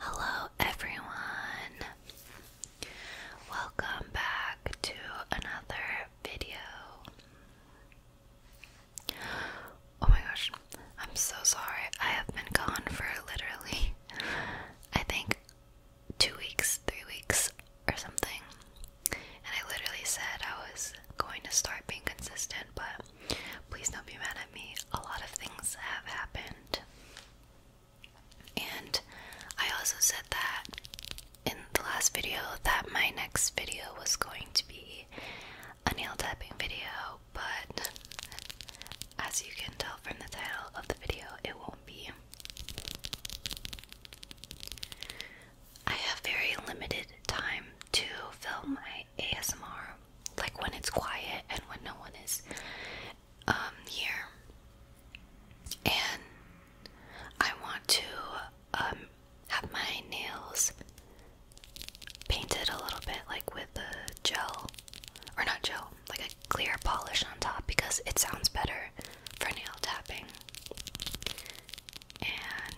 Hello, everyone. Welcome back to another video. Oh my gosh, I'm so sorry. I have been gone for literally, I think, two weeks, three weeks, or something. And I literally said I was going to start being consistent, but please don't be mad at me. A lot of things have happened. And I also said that in the last video that my next video was going to be a nail tapping video, but as you can tell from the title of the video, it won't be. I have very limited time to film my ASMR, like when it's quiet and when no one is um, here. And I want to um, have my nails painted a little bit, like with a gel, or not gel, like a clear polish on top, because it sounds better for nail tapping. And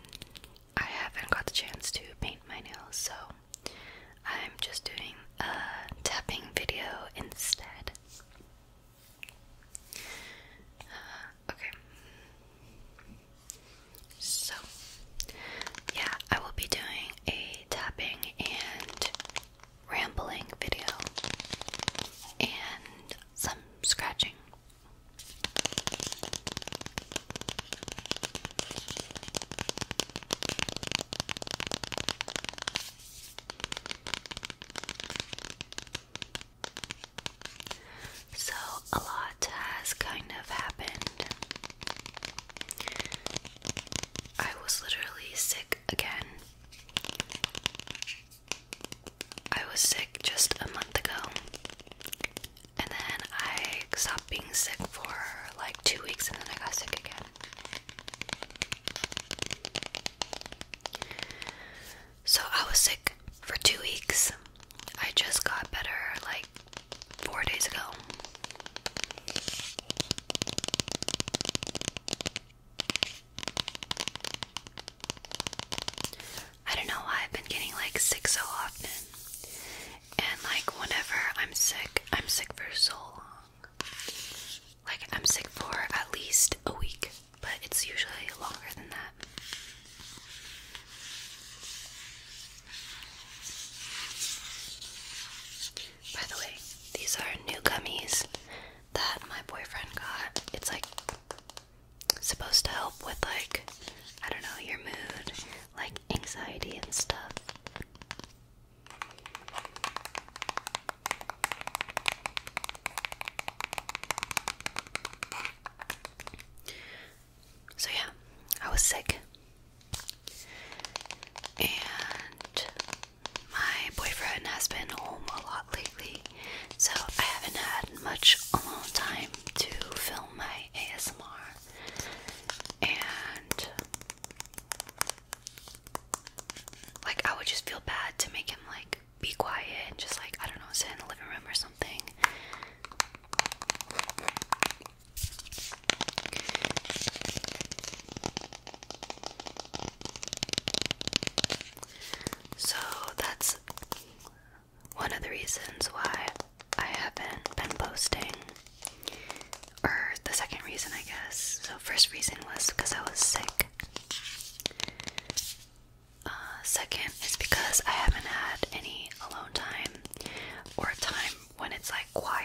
I haven't got the chance to paint my nails, so I'm just doing a tapping video instead. Uh, okay. So, yeah, I will be doing a tapping and rambling video. And some scratching. So, a lot has kind of happened. I was literally sick again. I was sick just a month ago, and then I stopped being sick for like two weeks, and then I got sick again. So I was sick for two weeks. I just got better like four days ago. I don't know why I've been getting like sick so often. And like whenever I'm sick, I'm sick for so long. Like I'm sick for at least a week, but it's usually longer than that. By the way, these are new gummies that my boyfriend got. It's like supposed to help with like I don't know your mood, like anxiety and stuff. So yeah, I was sick. And my boyfriend has been home a lot lately, so I haven't had much alone time to film my ASMR. And like I would just feel bad to make him like be quiet and just like I don't know, sit in the living room or something. So that's one of the reasons why I haven't been posting. Or the second reason, I guess. So, first reason was because I was sick. Uh, second is because I haven't had any alone time or a time when it's like quiet.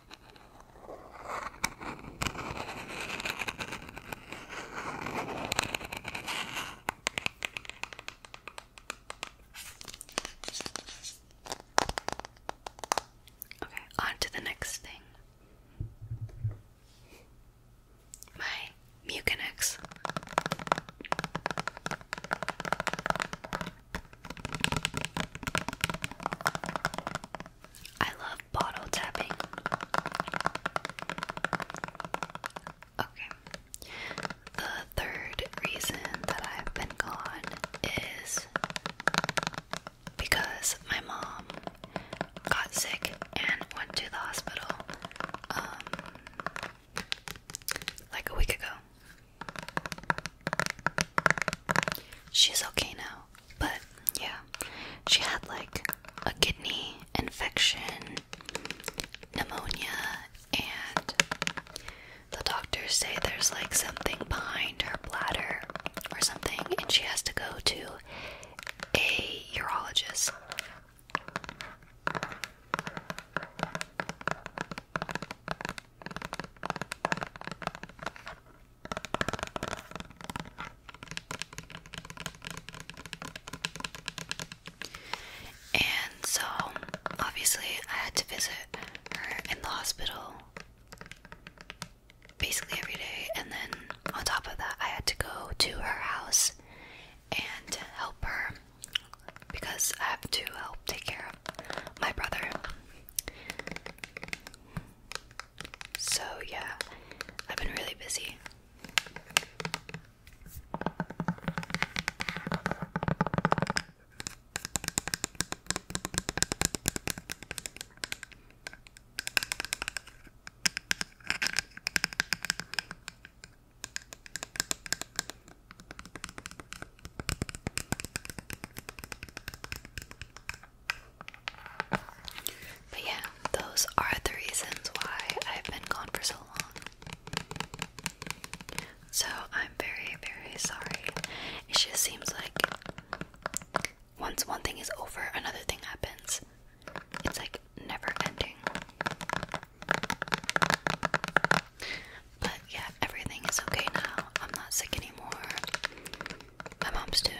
Okay, on to the next thing. My Mucinex. I love bottle tapping. Okay. The third reason that I've been gone is because my mom got sick and went to the hospital um, like a week ago. She's okay now, but yeah, she had like a kidney infection, pneumonia, and the doctors say there's like something behind her bladder or something, and she has to go to a urologist. And so, obviously, I had to visit her in the hospital basically every day. And then, on top of that, I had to go to her house and help her because I have to help take care of my brother. So, yeah, I've been really busy. But yeah, those are the reasons why I've been gone for so long. So I'm very, very sorry. It just seems like once one thing is over, another thing happens. It's like never ending. But yeah, everything is okay now. I'm not sick anymore. My mom's doing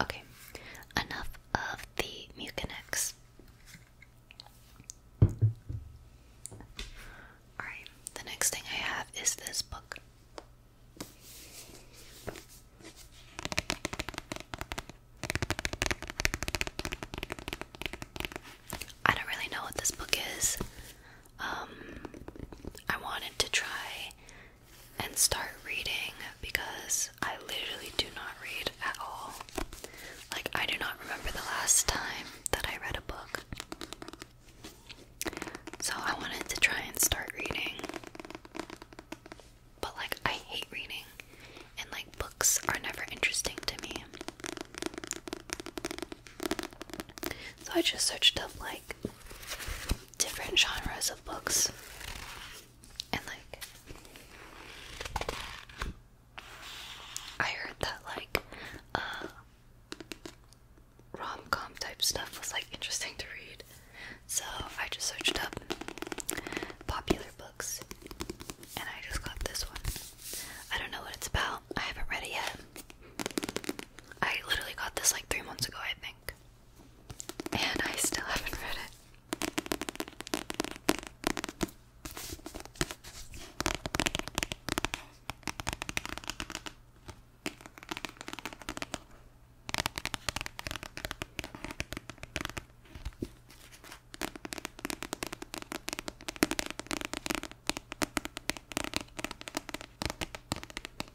Okay, enough of the Mucinex. Alright, the next thing I have is this book. I don't really know what this book is. Um, I wanted to try and start reading because I literally do not read at all. Like, I do not remember the last time that I read a book. So, I wanted to try and start reading. But, like, I hate reading, and, like, books are never interesting to me. So, I just searched up, like, different genres of books and like I heard that like uh rom com type stuff was like interesting to read. So I just searched up popular books and I just got this one. I don't know what it's about. I haven't read it yet. I literally got this like three months ago, I think. And I still haven't read it.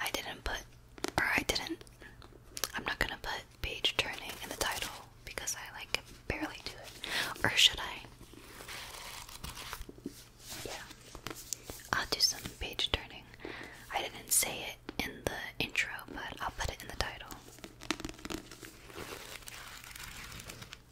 I didn't put, or I didn't, I'm not gonna put page turning in the title because I like barely do it. Or should I? Yeah. I'll do some page turning. I didn't say it in the intro, but I'll put it in the title.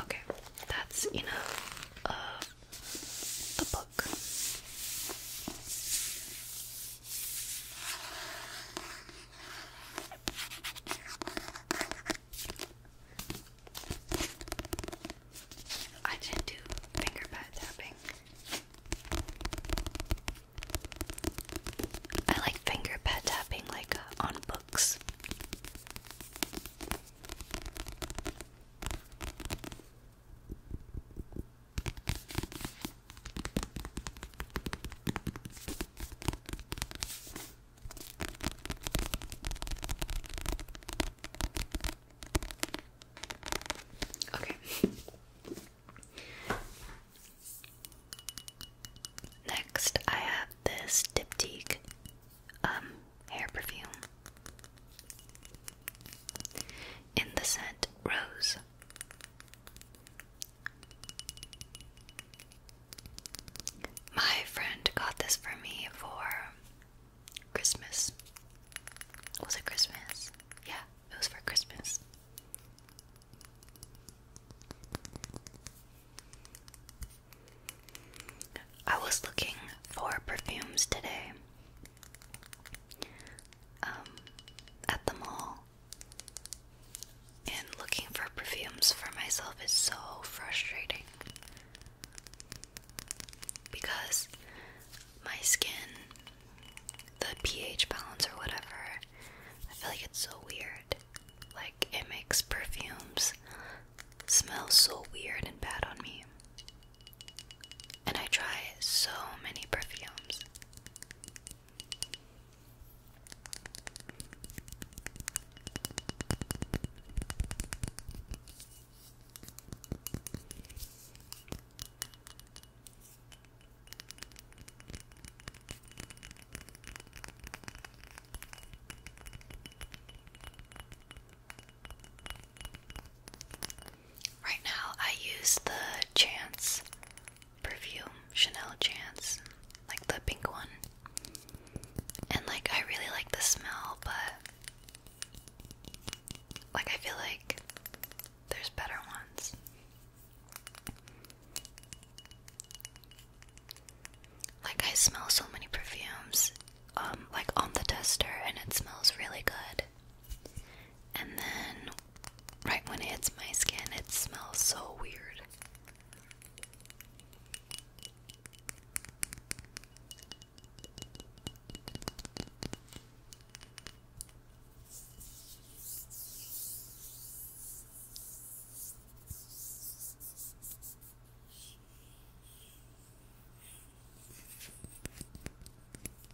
Okay, that's enough of the book. I didn't do finger pad tapping. I like finger pad tapping like uh, on books. Okay. Next, I have this Diptyque um hair perfume in the scent Rose. My friend got this for me for Christmas. Was it Christmas? Yeah, it was for Christmas. I was looking for perfumes today um, at the mall, and looking for perfumes for myself is so frustrating because my skin, the pH balance or whatever, I feel like it's so weird. Like it makes perfumes smell so weird and bad on me. And I try so many perfumes. Right now, I use the Chance perfume, Chanel Chance, like the pink one. And like I really like the smell, but like I feel like there's better ones. Like I smell so many perfumes um like on the tester and it smells really good and then right when it hits my skin, it smells so weird.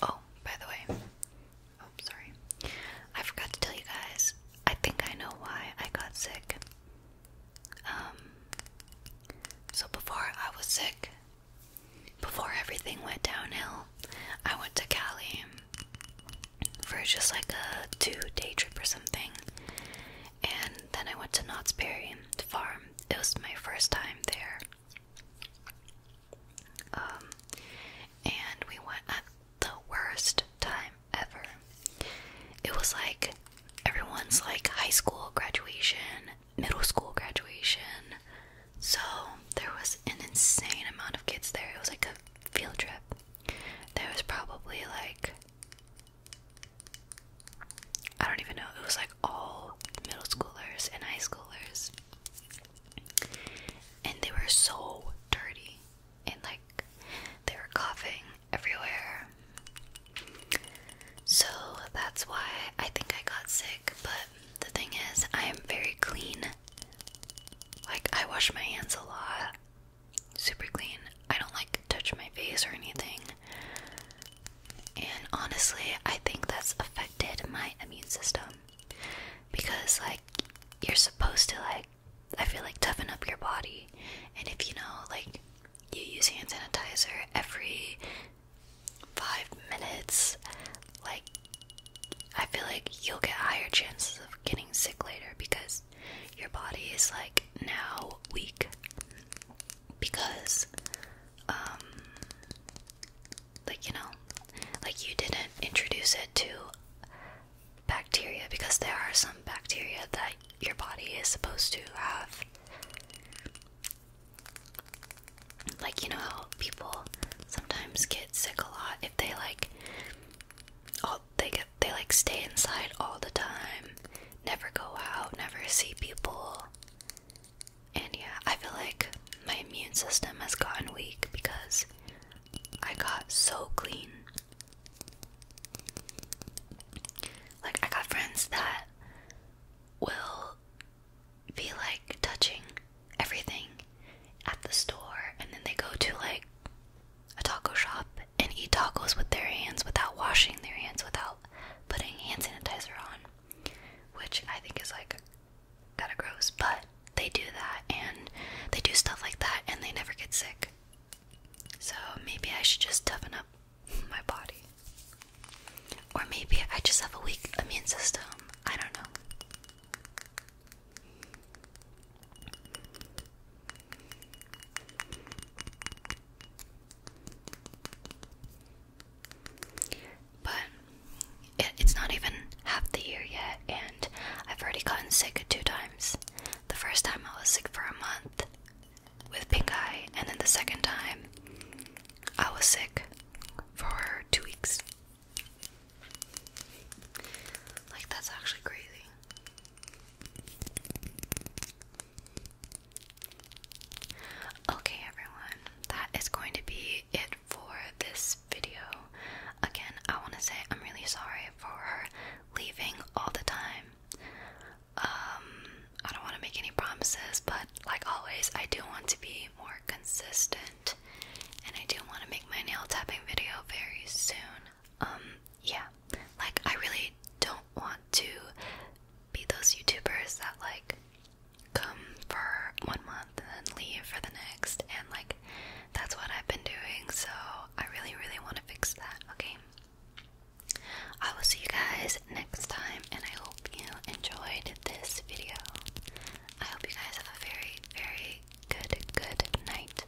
Oh, by the way, oh, sorry. I forgot to tell you guys. I think I know why I got sick. Um, so before I was sick, before everything went downhill, I went to Cali for just like a two day trip or something and then I went to Knott's Berry Farm. It was my first time there. Um, and we went at the worst time ever. It was like everyone's like high school graduation, middle school graduation. So there was an insane amount of kids there. It was like a field trip. There was probably like I don't even know. It was like all middle schoolers and high schoolers. And they were so dirty. And like they were coughing everywhere. So that's why I think I got sick. But the thing is, I am very clean. Like I wash my hands a lot super clean. I don't like touch my face or anything. And honestly, I think that's affected my immune system because like you're supposed to like I feel like toughen up your body. And if you know like you use hand sanitizer every 5 minutes, like I feel like you'll get higher chances of getting sick later because your body is like now weak because um like you know like you didn't introduce it to bacteria because there are some bacteria that your body is supposed to have like you know how people sometimes get sick a lot if they like oh, they get they like stay inside all the time, never go out, never see people. And yeah, I feel like my immune system has gotten weak because I got so clean. Like, I got friends that will be like touching everything at the store, and then they go to like a taco shop and eat tacos with their hands without washing their hands, without putting hand sanitizer on, which I think is like kind of gross, but they do that and they do stuff like that and they never get sick. So maybe I should just toughen up my body. Or maybe I just have a weak immune system. I don't know. But it's not even half the year yet, and I've already gotten sick two times. The first time I was sick for a month with pink eye, and then the second time I was sick for two weeks. Like, that's actually crazy. Okay, everyone, that is going to be it for this video. Again, I want to say I'm really sorry for leaving all the time. Um, I don't want to make any promises, but like always, I do want to be more consistent and I do want to make my nail tapping video very soon. Um, yeah, like I really don't want to be those YouTubers that like come for one month and then leave for the next and like that's what I've been doing so I really really want to fix that okay I will see you guys next time and I hope you enjoyed this video I hope you guys have a very very good good night